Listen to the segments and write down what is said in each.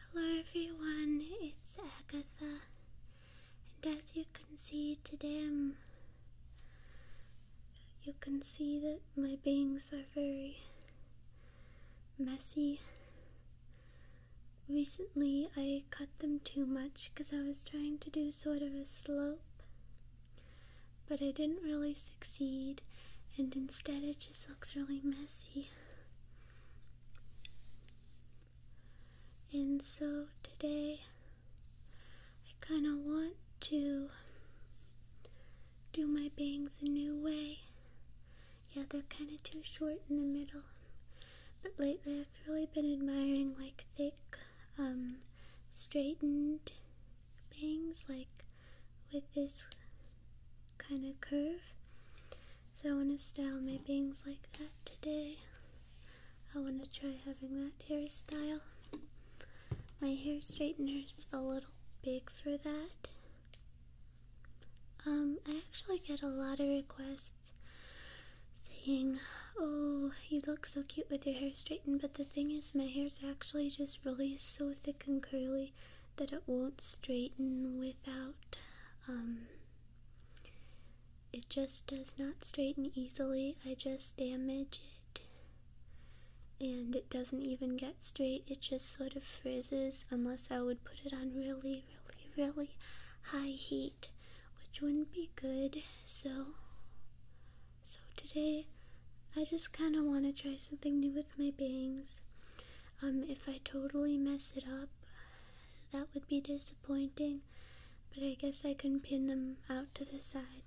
Hello everyone, it's Agatha, and as you can see today, you can see that my bangs are very messy. Recently, I cut them too much because I was trying to do sort of a slope, but I didn't really succeed, and instead it just looks really messy. And so today, I kind of want to do my bangs a new way. Yeah, they're kind of too short in the middle. But lately I've really been admiring like thick um, straightened bangs, like with this kind of curve. So I want to style my bangs like that today. I want to try having that hairstyle. My hair straightener's a little big for that. Um, I actually get a lot of requests saying, Oh, you look so cute with your hair straightened, but the thing is, my hair's actually just really so thick and curly that it won't straighten without, um, it just does not straighten easily. I just damage it. And it doesn't even get straight, it just sort of frizzes unless I would put it on really, really, really high heat, which wouldn't be good. So, so today, I just kind of want to try something new with my bangs. Um, if I totally mess it up, that would be disappointing. But I guess I can pin them out to the side.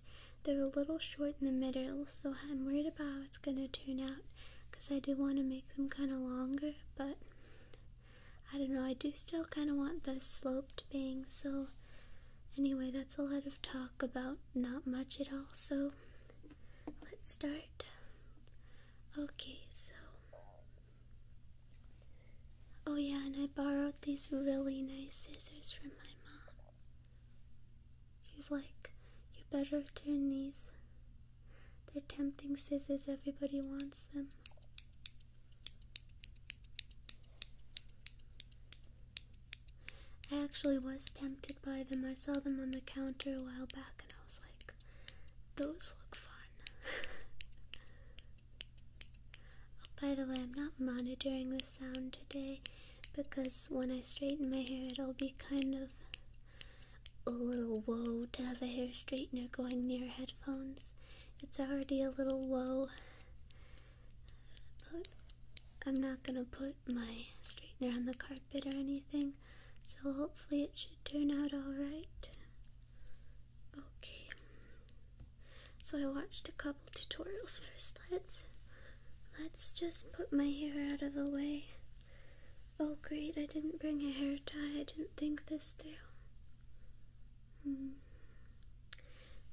They're a little short in the middle, so I'm worried about how it's gonna turn out. Cause I do want to make them kind of longer, but I don't know. I do still kind of want the sloped bangs, so Anyway, that's a lot of talk about not much at all, so let's start. Okay, so. Oh, yeah, and I borrowed these really nice scissors from my mom. She's like, you better turn these. They're tempting scissors, everybody wants them. I actually was tempted by them. I saw them on the counter a while back and I was like, those look fun. oh, by the way, I'm not monitoring the sound today because when I straighten my hair, it'll be kind of a little woe to have a hair straightener going near headphones. It's already a little woe I'm not gonna put my straightener on the carpet or anything, so hopefully it should turn out alright. Okay. So I watched a couple tutorials first. us Let's just put my hair out of the way. Oh, great, I didn't bring a hair tie, I didn't think this through. Hmm.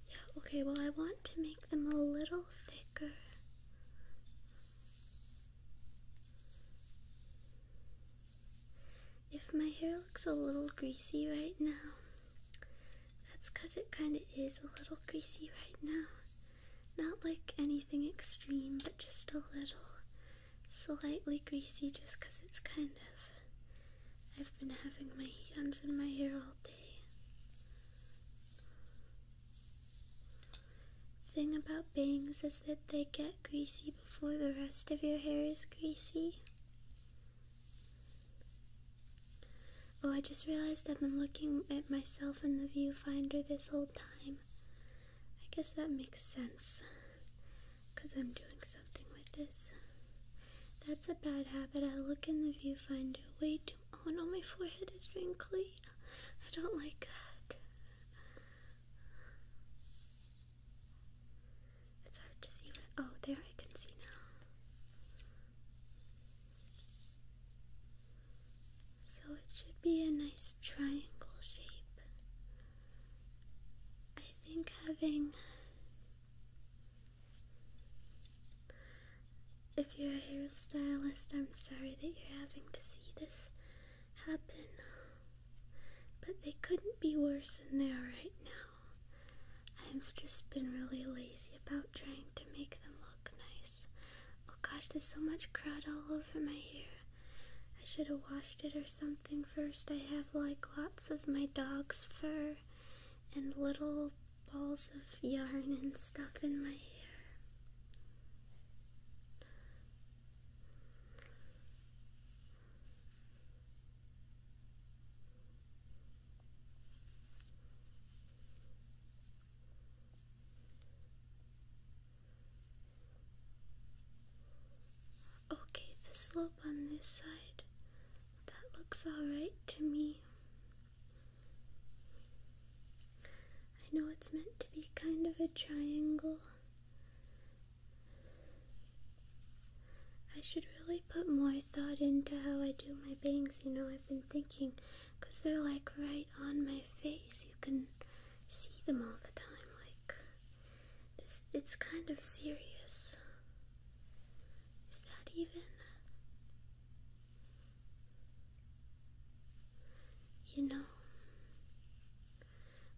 Yeah, okay, well, I want to make them a little thicker. If my hair looks a little greasy right now, that's because it kind of is a little greasy right now. Not like anything extreme, but just a little slightly greasy just because it's kind of I've been having my hands in my hair all day. Thing about bangs is that they get greasy before the rest of your hair is greasy. Oh, I just realized I've been looking at myself in the viewfinder this whole time. I guess that makes sense because I'm doing something with this. That's a bad habit. I look in the viewfinder way too. Oh no, my forehead is wrinkly. I don't like that. It's hard to see. oh, there I can see now. So it should be a nice triangle shape. I think having. If you're a hairstylist, I'm sorry that you're having to see this happen. But they couldn't be worse than there right now. I've just been really lazy about trying to make them look nice. Oh gosh, there's so much crud all over my hair. I should have washed it or something first. I have like lots of my dog's fur and little balls of yarn and stuff in my hair. Okay, the slope on this side, that looks alright to me. I know it's meant to be kind of a triangle. I should really put more thought into how I do my bangs, you know, I've been thinking, because they're like right on my face. You can see them all the time, like it's, it's kind of serious. Is that even? You know.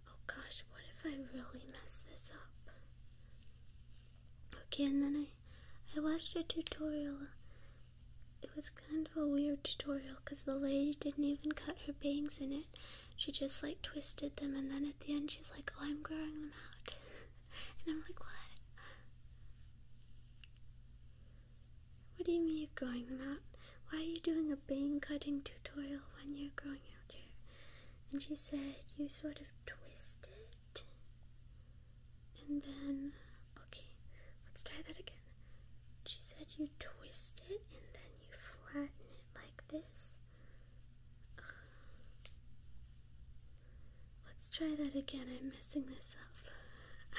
Oh gosh, what if I really mess this up? Okay, and then I, I watched a tutorial. It was kind of a weird tutorial because the lady didn't even cut her bangs in it she just like twisted them and then at the end she's like, Oh, I'm growing them out. and I'm like, What? What do you mean you're growing them out? Why are you doing a bang cutting tutorial when you're growing out here?" and she said you sort of twist it and then okay, let's try that again. She said you twist it and then you flatten it like this Let's try that again. I'm messing this up.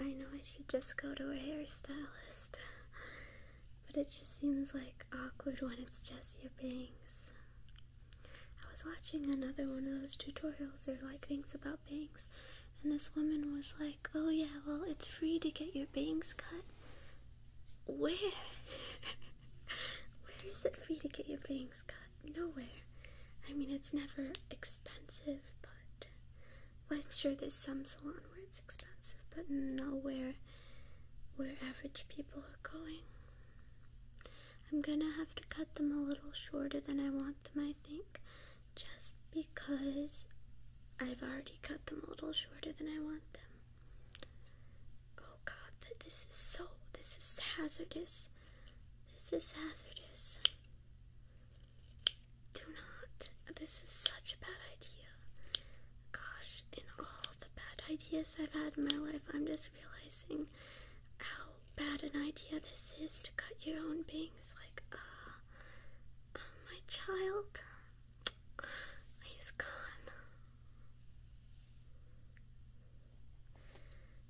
I know I should just go to a hairstylist, but it just seems like awkward when it's just your bangs. I was watching another one of those tutorials or like things about bangs. And this woman was like, Oh, yeah, well, it's free to get your bangs cut. Where? Where is it free to get your bangs cut? Nowhere. I mean, it's never expensive, but I'm sure there's some salon where it's expensive, but nowhere where average people are going. I'm gonna have to cut them a little shorter than I want them, I think just because I've already cut them a little shorter than I want them. Oh god, that this is so this is hazardous. This is hazardous. Do not. This is such a bad idea. Gosh, in all the bad ideas I've had in my life, I'm just realizing how bad an idea this is to cut your own bangs like ah. Uh, my child. He's gone.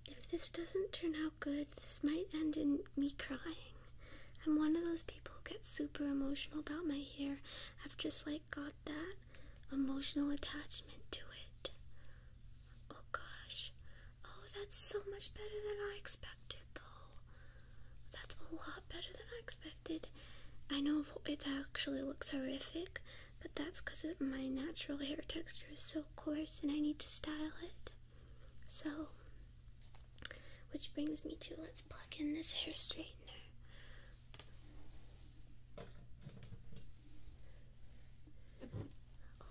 If this doesn't turn out good, this might end in me crying. I'm one of those people who get super emotional about my hair. I've just like got that emotional attachment to it. Oh gosh, Oh, that's so much better than I expected, though. That's a lot better than I expected. I know it actually looks horrific, but that's because my natural hair texture is so coarse and I need to style it. So, which brings me to let's plug in this hair straightener.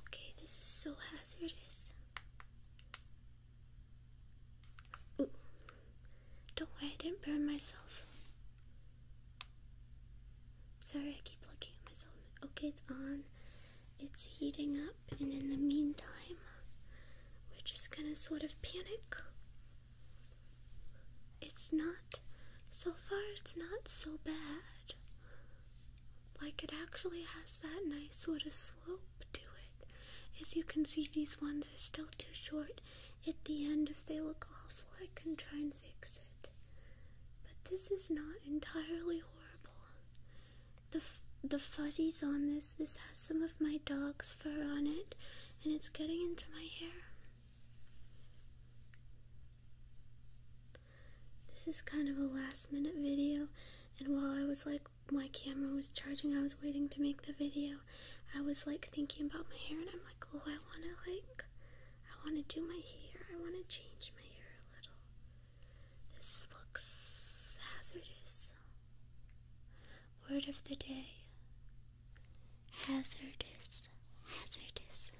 Okay, this is so hazardous. Don't worry, I didn't burn myself. Sorry, I keep looking at myself. Okay, it's on. It's heating up, and in the meantime, we're just gonna sort of panic. It's not, so far, it's not so bad. Like it actually has that nice sort of slope to it. As you can see, these ones are still too short at the end. If they look awful, I can try and fix it. But this is not entirely horrible. The the fuzzies on this, this has some of my dog's fur on it, and it's getting into my hair. This is kind of a last minute video, and while I was like, my camera was charging, I was waiting to make the video. I was like thinking about my hair, and I'm like, oh, I wanna like, I wanna do my hair, I wanna change my hair a little. This looks hazardous. Word of the day hazardous, hazardous.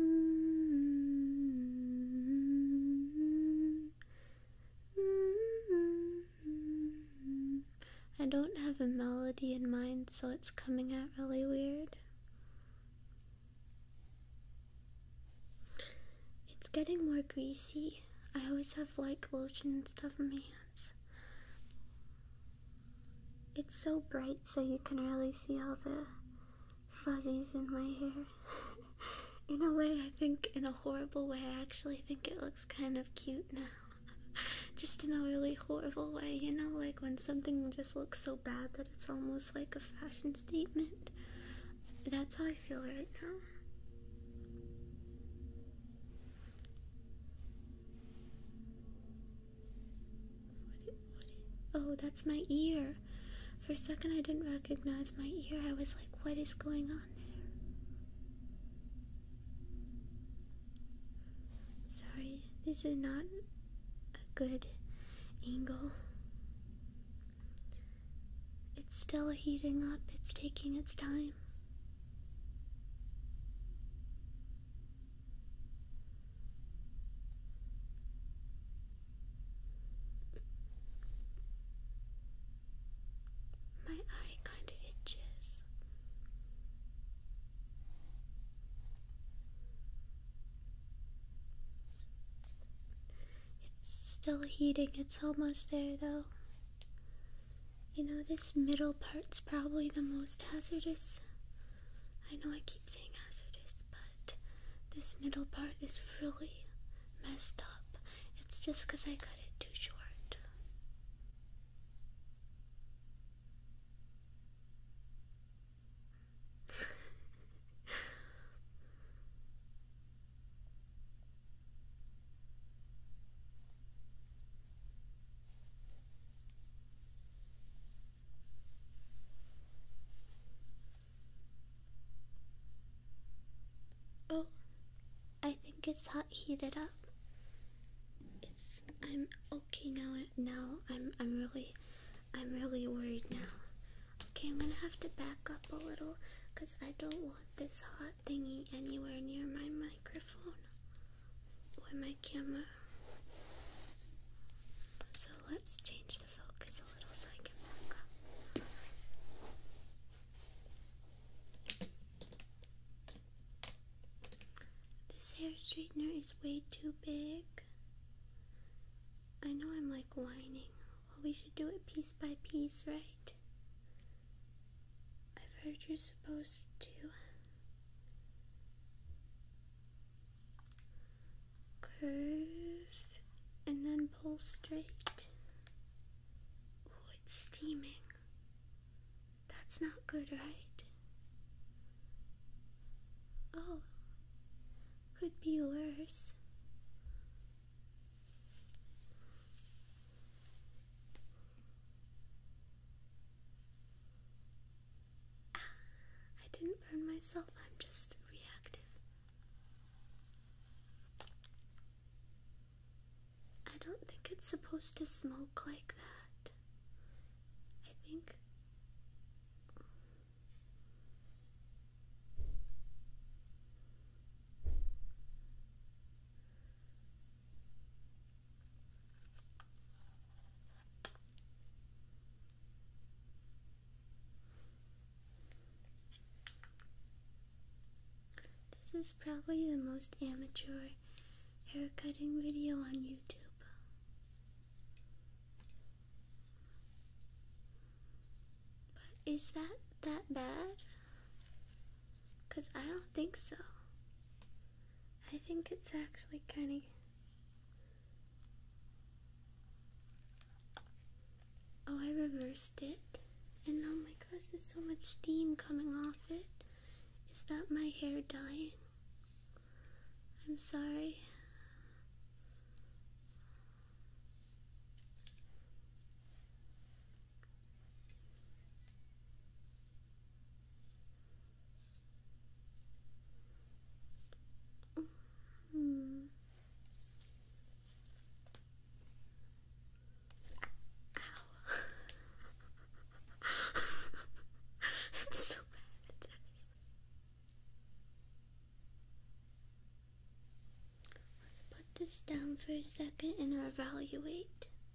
Mm-hmm. I don't have a melody in mind, so it's coming out really weird. It's getting more greasy. I always have like lotion and stuff on my hands. It's so bright, so you can really see all the fuzzies in my hair. in a way, I think, in a horrible way, I actually think it looks kind of cute now. just in a really horrible way, you know, like when something just looks so bad that it's almost like a fashion statement. That's how I feel right now oh, that's my ear. For a second, I didn't recognize my ear. I was like, what is going on there? Sorry, this is not a good angle. It's still heating up, it's taking its time. My eye kind of itches. It's still heating, it's almost there though. You know, this middle part's probably the most hazardous I know I keep saying hazardous, but this middle part is really messed up. It's just because I cut it too short. Oh, I think it's hot heated up. It's I'm okay now. Now I'm I'm really I'm really worried now. Okay, I'm gonna have to back up a little because I don't want this hot thingy anywhere near my microphone where my camera. So let's change the focus a little so I can back This hair straightener is way too big. I know I'm like whining. Well, we should do it piece by piece, right? I've heard you're supposed to Curve and then pull straight. Oh, it's steaming. That's not good, right? Oh, could be worse. I didn't burn myself, I'm just reactive. I don't think it's supposed to smoke like that. I think. This is probably the most amateur haircutting video on YouTube. But is that that bad? Because I don't think so. I think it's actually kind of. Oh, I reversed it. And oh my gosh, there's so much steam coming off it. Is that my hair dying? I'm sorry. Mm. I'm so bad. Let's put this down for a second and evaluate.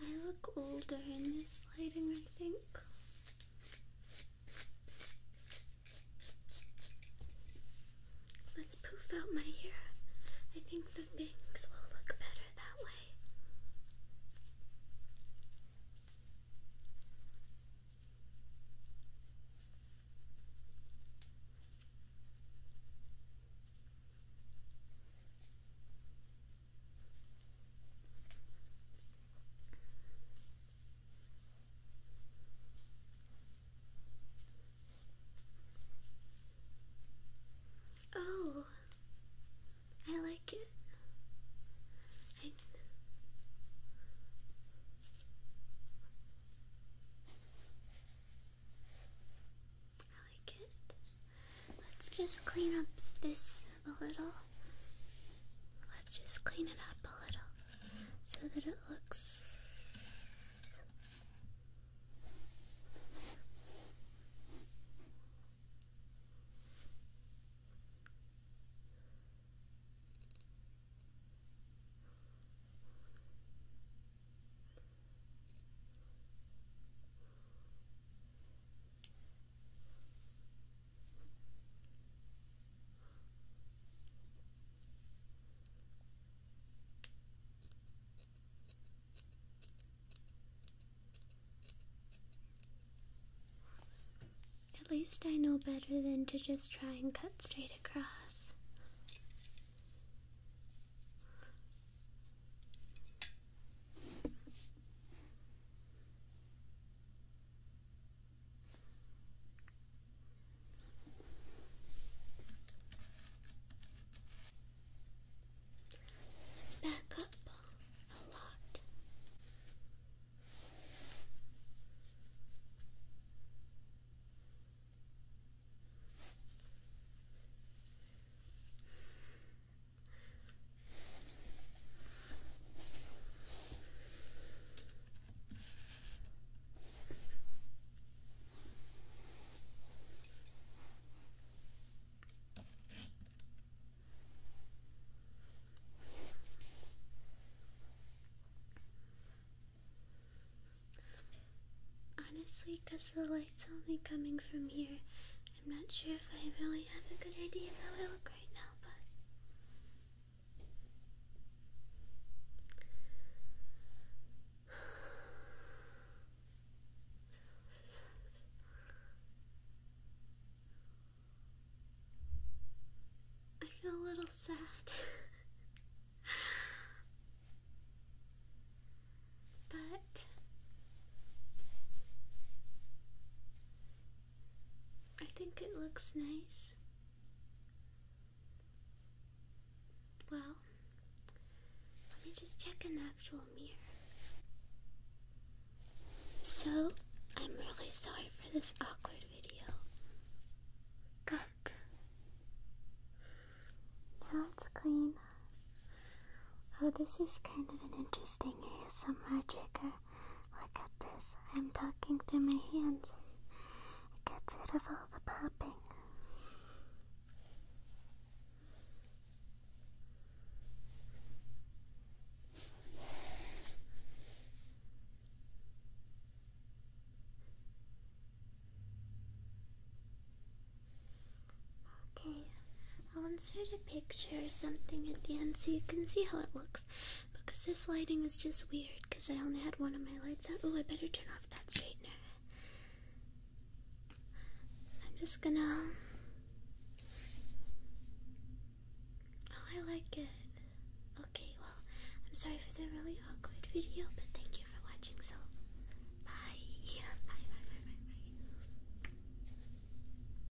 I look older in this lighting, I think. Let's poof out my hair. I think the bangs will look better that way. Oh, I like it. I... like it. Let's just clean up this a little. Let's just clean it up a little so that it looks at least I know better than to just try and cut straight across. Let's back up a lot. Honestly, because the light's only coming from here, I'm not sure if I really have a good idea how I look right now, but I feel a little sad. but I think it looks nice. Well, let me just check an actual mirror. So, I'm really sorry for this awkward video. But, now it's clean. Oh, this is kind of an interesting ASMR trigger. Look at this. I'm talking through my hands. It gets rid of all the popping. Okay, I'll insert a picture or something at the end so you can see how it looks. Because this lighting is just weird, because I only had one of my lights out. Oh, I better turn off that straightener. I'm just gonna. Oh, I like it. Okay, well, I'm sorry for the really awkward video, but thank you for watching. So, bye. bye, bye, bye, bye, bye.